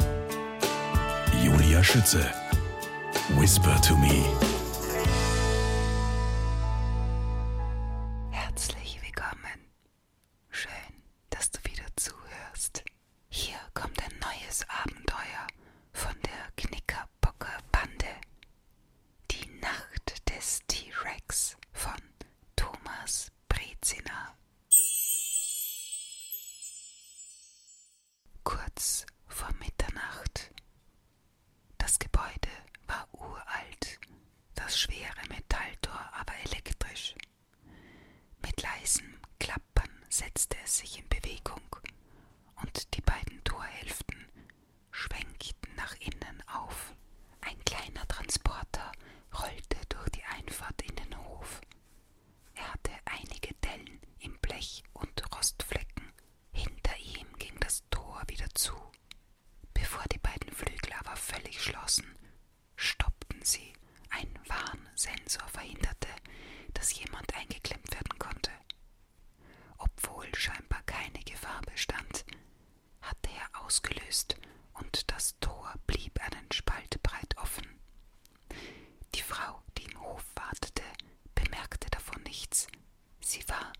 Julia Schütze. Whisper to me. Herzlich willkommen. Schön, dass du wieder zuhörst. Hier kommt ein neues Abenteuer von der Knickerbocker Bande. Die Nacht des T-Rex von Thomas Brezina. Kurz vor Mitternacht. Das Gebäude war uralt, das schwere Metalltor aber elektrisch. Mit leisem Klappern setzte es sich in Bewegung und die beiden Torhälften schwenkten nach innen auf. Ein kleiner Transporter rollte durch die Einfahrt in den Hof. Er hatte einige Dellen im Blech und Rostflecken. Hinter ihm ging das Tor wieder zu. Bevor die beiden Flügel aber völlig schlossen, stoppten sie. Ein Warnsensor verhinderte, dass jemand eingeklemmt werden konnte. Obwohl scheinbar keine Gefahr bestand, hatte er ausgelöst, und das Tor blieb einen Spalt breit offen. Die Frau, die im Hof wartete, bemerkte davon nichts. Sie war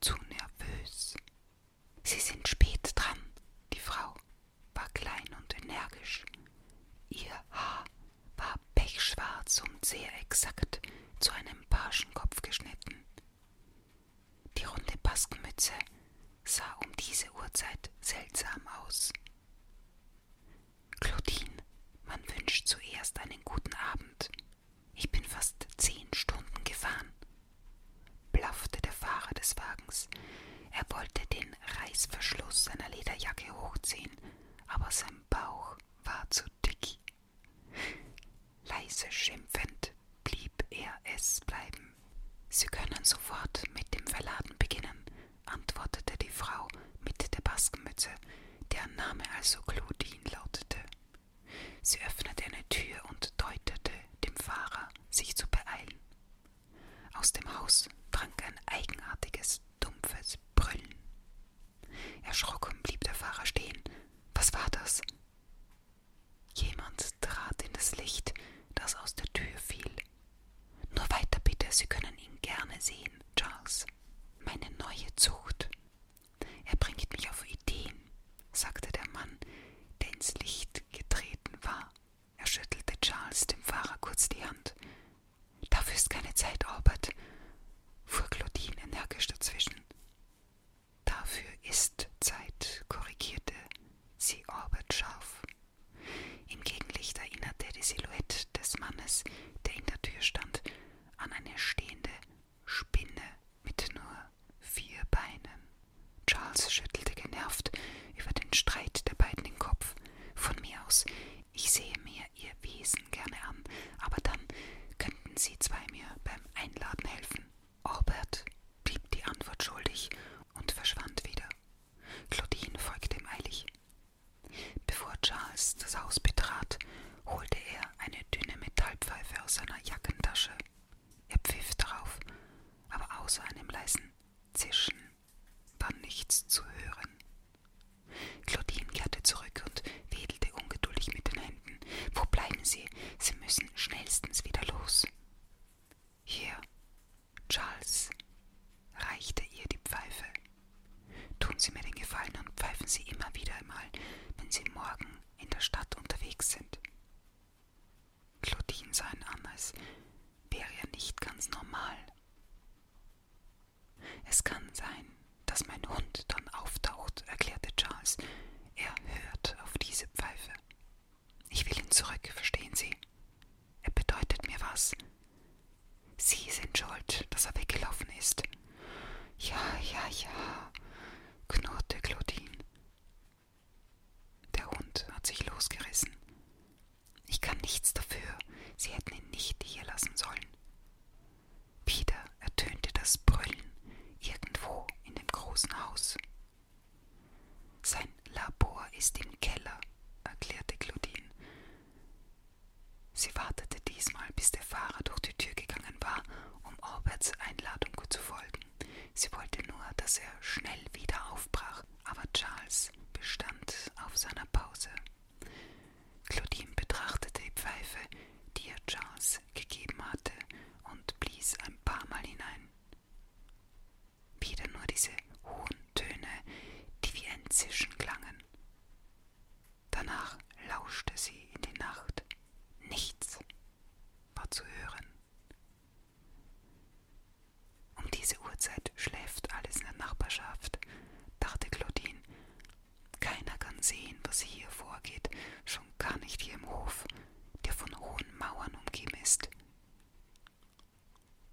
zu nervös. Sie sind spät dran. Die Frau war klein und energisch. Ihr Haar war pechschwarz und sehr exakt zu einem Barschenkopf geschnitten. Die runde Baskenmütze sah um diese Uhrzeit seltsam aus. Claudine, man wünscht zuerst einen guten Abend. Ich bin fast zehn Stunden gefahren, blaffte der Fahrer des Wagens. Er wollte den Reißverschluss seiner Lederjacke hochziehen, aber sein Bauch war zu dick. Leise schimpfend blieb er es bleiben. Sie können sofort mit dem Verladen beginnen, antwortete die Frau mit der Baskenmütze, deren Name also Claudine lautete. Sie öffnete eine Tür und deutete dem Fahrer, sich zu beeilen. Aus dem Haus drang ein eigenartiges, dumpfes Brüllen. Erschrocken blieb der Fahrer stehen. Was war das? Jemand trat in das Licht, das aus der Tür fiel. Nur weiter bitte, Sie können ihn gerne sehen, Charles. Meine neue Zucht. Er bringt mich auf Ideen, sagte der Mann, der ins Licht getreten war. Er schüttelte Charles dem Fahrer kurz die Hand. Dafür ist keine Zeit, Albert, fuhr Claudine energisch dazwischen. Dafür ist Zeit, korrigierte sie Orbit scharf. Im Gegenlicht erinnerte die Silhouette des Mannes, der in der Tür stand, an eine stehende Spinne mit nur vier Beinen. Charles schüttelte genervt über den Streit der beiden den Kopf. Von mir aus, ich sehe mir ihr Wesen gerne an, aber dann könnten sie zwei mir beim Einladen helfen. Albert blieb die Antwort schuldig und verschwand wieder. Claudine folgte ihm eilig. Bevor Charles das Haus betrat, holte er eine dünne Metallpfeife aus seiner Jackentasche. Er pfiff darauf, aber außer einem leisen Zischen war nichts zu hören. Claudine kehrte zurück und wedelte ungeduldig mit den Händen. Wo bleiben Sie? Sie müssen schnellstens wieder los. Hier, Charles, reichte ihr die Pfeife. Tun Sie mir den Gefallen und pfeifen Sie immer wieder einmal, wenn Sie morgen in der Stadt unterwegs sind. Claudine sah ihn an, als wäre er nicht ganz normal. Es kann sein, dass mein Hund dann auftaucht, erklärte Charles. Er hört auf diese Pfeife. Ich will ihn zurück, verstehen Sie? Er bedeutet mir was. Sie sind schuld, dass er weggelaufen ist. Ja, ja, ja, knurrte Claudine. Der Hund hat sich losgerissen. Ich kann nichts dafür. Sie hätten ihn nicht hier lassen sollen. Wieder ertönte das Brüllen irgendwo in dem großen Haus. Sein Labor ist im Keller, erklärte Claudine. Sie wartete diesmal, bis der Fahrer durch die Tür gegangen war, um Orberts Einladung zu folgen. Sie wollte nur, dass er schnell wieder aufbrach, aber Charles bestand auf seiner Pause. Claudine betrachtete die Pfeife, die er Charles gegeben hatte, und blies ein paar Mal hinein. Wieder nur diese hohen Töne, die wie ein Zischen klangen. Danach lauschte sie in die Nacht. Nichts war zu hören. Um diese Uhrzeit schläft alles in der Nachbarschaft, dachte Claudine keiner kann sehen, was hier vorgeht, schon gar nicht hier im Hof, der von hohen Mauern umgeben ist.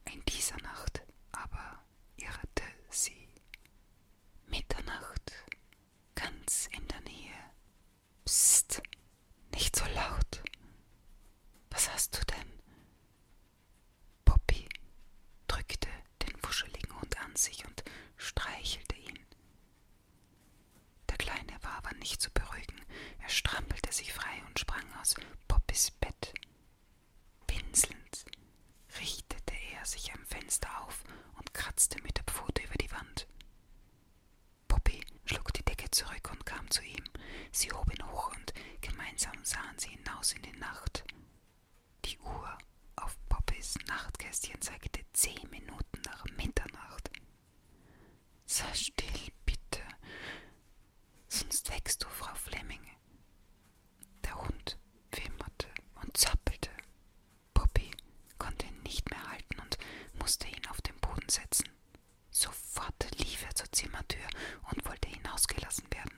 In dieser Nacht aber irrte sie. Mitternacht, ganz in der Nähe. Psst, nicht so laut. Was hast du denn? Poppy drückte den wuscheligen Hund an sich und streichelte ihn. Der Kleine war aber nicht zu beruhigen. Er strampelte sich frei und sprang aus Poppys Bett. Winselnd richtete er sich am Fenster auf und kratzte mit der Pfote über die Wand. Poppy schlug die Decke zurück und kam zu ihm. Sie hob ihn hoch und gemeinsam sahen sie hinaus in die Nacht. Die Uhr auf Poppys Nachtkästchen zeigte zehn Minuten nach Mitternacht. Sei still, bitte, sonst wächst du, Frau Flemming. Der Hund wimmerte und zappelte. Poppy konnte ihn nicht mehr halten und musste ihn auf den Boden setzen. Sofort lief er zur Zimmertür und wollte hinausgelassen werden.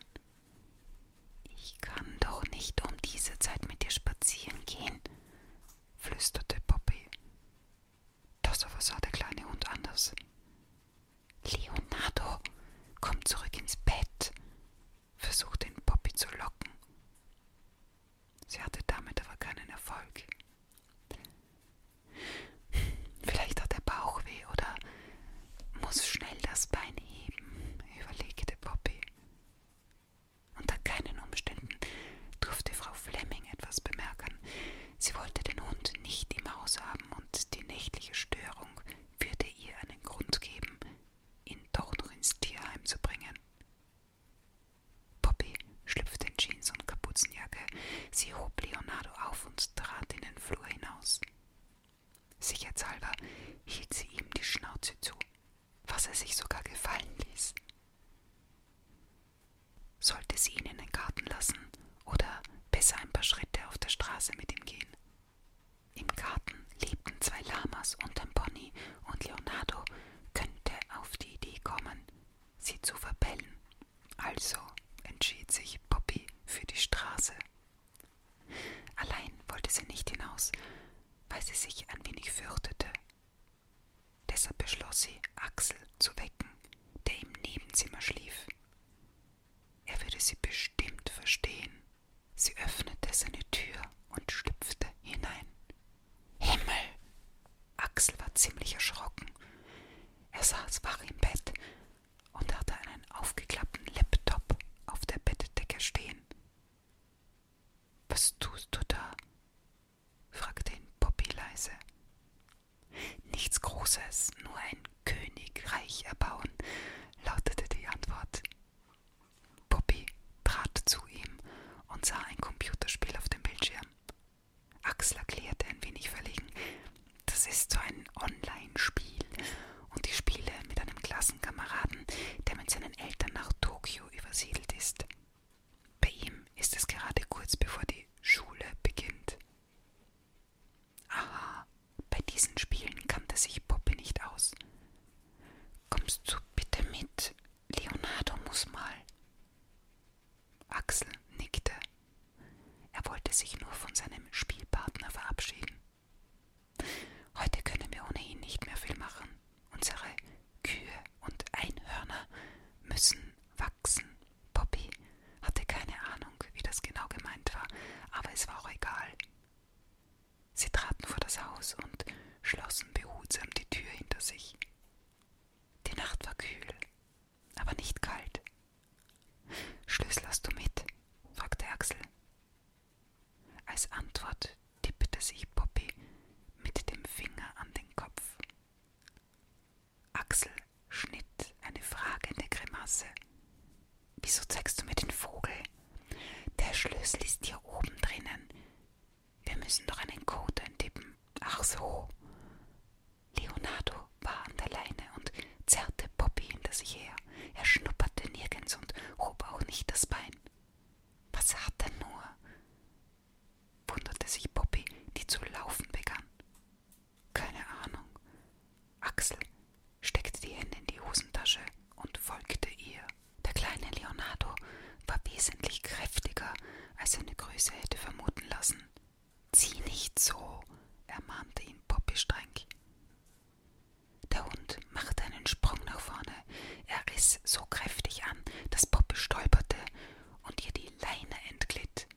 Ich kann doch nicht um diese Zeit mit dir spazieren gehen, flüsterte Poppy. Das aber sah der kleine Hund anders. Leonardo, komm zurück ins Bett, versuchte ihn Poppy zu locken. Sie hatte damit aber keinen Erfolg. Vielleicht hat er Bauchweh oder muss schnell das Bein heben, überlegte Poppy. Unter keinen Umständen durfte Frau Flemming etwas bemerken. Sie wollte den Hund nicht im Haus haben und die nächtliche Störung würde ihr einen Grund geben, ihn doch noch ins Tierheim zu bringen. Poppy schlüpfte in Jeans und Kapuzenjacke. Sie hob Leonardo auf und trat in den Flur hinaus. Sicherheitshalber hielt sie ihm die Schnauze zu, was er sich sogar gefallen ließ. Sollte sie ihn in den Garten lassen oder besser ein paar Schritte auf der Straße mit ihm gehen? Im Garten lebten zwei Lamas unterm Pony und Leonardo könnte auf die Idee kommen, sie zu verbellen. Also entschied sich Poppy für die Straße. Allein wollte sie nicht hinaus, weil sie sich ein wenig fürchtete. Deshalb beschloss sie, Axel zu wecken, der im Nebenzimmer schlief. Er würde sie bestimmt verstehen. Sie öffnete seine Tür und schlüpfte hinein. Himmel! Axel war ziemlich erschrocken. Er saß wach im Bett, und hatte einen aufgeklappten Laptop auf der Bettdecke stehen. Was tust du da? fragte ihn Poppy leise. Nichts Großes, nur ein Königreich erbauen, lautete die Antwort. Poppy trat zu ihm und sah ein Computerspiel auf dem Bildschirm. Axel erklärte ein wenig verlegen, das ist so ein Online-Spiel und die Spiele mit einem Klassenkameraden, der mit seinen Eltern nach Tokio übersiedelt ist. Bei ihm ist es gerade kurz bevor die Schule beginnt. Aha, bei diesen Spielen kannte sich Poppy nicht aus. Kommst du bitte mit? Leonardo muss mal. Axel nickte. Er wollte sich nur von seinem Spielpartner verabschieden. Heute können wir ohnehin nicht mehr viel machen. Unsere Kühe und Einhörner müssen wachsen. Poppy hatte keine Ahnung, wie das genau gemeint war, aber es war auch egal. Sie traten vor das Haus und schlossen behutsam die Tür hinter sich. Die Nacht war kühl, aber nicht kalt. Schlüssel hast du mit? fragte Axel. Als Antwort tippte sich Poppy mit dem Finger an den Kopf. Axel schnitt eine fragende Grimasse. Wieso zeigst du mir den Vogel? Der Schlüssel ist hier oben drinnen. Wir müssen doch einen Code eintippen. Ach so. Leonardo war an der Leine und zerrte Poppy hinter sich her. Er schnupperte nirgends und hob auch nicht das Bein. Was hat er nur? wunderte sich Poppy, die zu laufen begann. Keine Ahnung. Axel steckte die Hände in die Hosentasche und folgte ihr. Der kleine Leonardo war wesentlich kräftiger, als seine Größe hätte vermuten lassen. Zieh nicht so, ermahnte ihn Poppy streng. Der Hund machte einen Sprung nach vorne. Er riss so kräftig an, dass Poppy stolperte und ihr die Leine entglitt.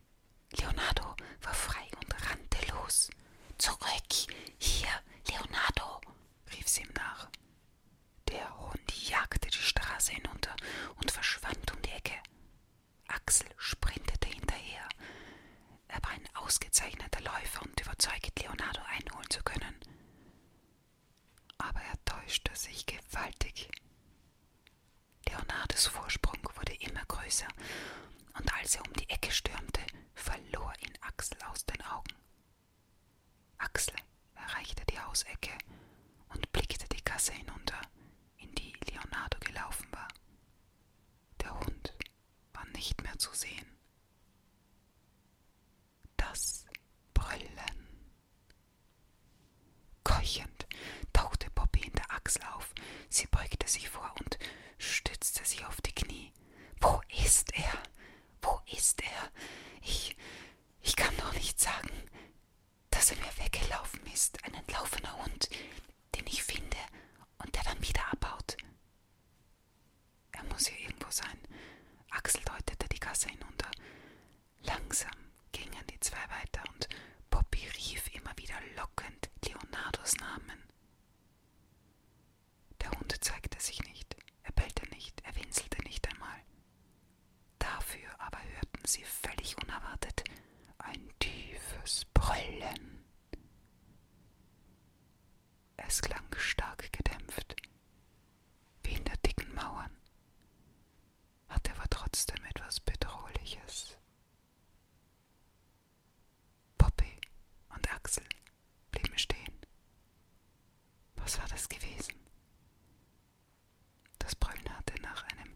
Leonardo war frei und rannte los. Zurück! Hier, Leonardo! rief sie ihm nach. Der Hund jagte die Straße hinunter und verschwand um die Ecke. Axel sprintete hinterher. Er war ein ausgezeichneter Läufer und überzeugt, Leonardo einholen zu können. Aber er täuschte sich gewaltig. Leonardos Vorsprung wurde immer größer, und als er um die Ecke stürmte, verlor ihn Axel aus den Augen. Axel erreichte die Hausecke und blickte die Gasse hinunter, in die Leonardo gelaufen war. Der Hund war nicht mehr zu sehen. Das Brüllen. Keuchend tauchte Poppy in der Achsel auf. Sie beugte sich vor und stützte sich auf die Knie. Wo ist er? Wo ist er? Ich. ich kann doch nicht sagen dass er mir weggelaufen ist, ein entlaufener Hund, den ich finde und der dann wieder abhaut. Er muss hier irgendwo sein. Axel deutete die Gasse hinunter. Langsam gingen die zwei weiter und Poppy rief immer wieder lockend Leonardos Namen. Der Hund zeigte sich nicht, er bellte nicht, er winselte nicht einmal. Dafür aber hörten sie völlig unerwartet ein tiefes Brüllen. Es klang stark gedämpft, wie hinter dicken Mauern, hatte aber trotzdem etwas Bedrohliches. Poppy und Axel blieben stehen. Was war das gewesen? Das Brüllen hatte nach einem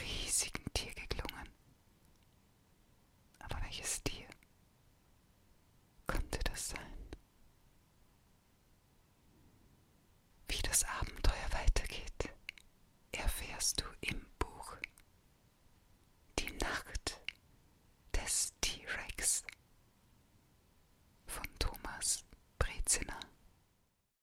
riesigen Tier geklungen. Aber welches Tier konnte das sein? Wie das Abenteuer weitergeht, erfährst du im Buch Die Nacht des T-Rex von Thomas Brezina.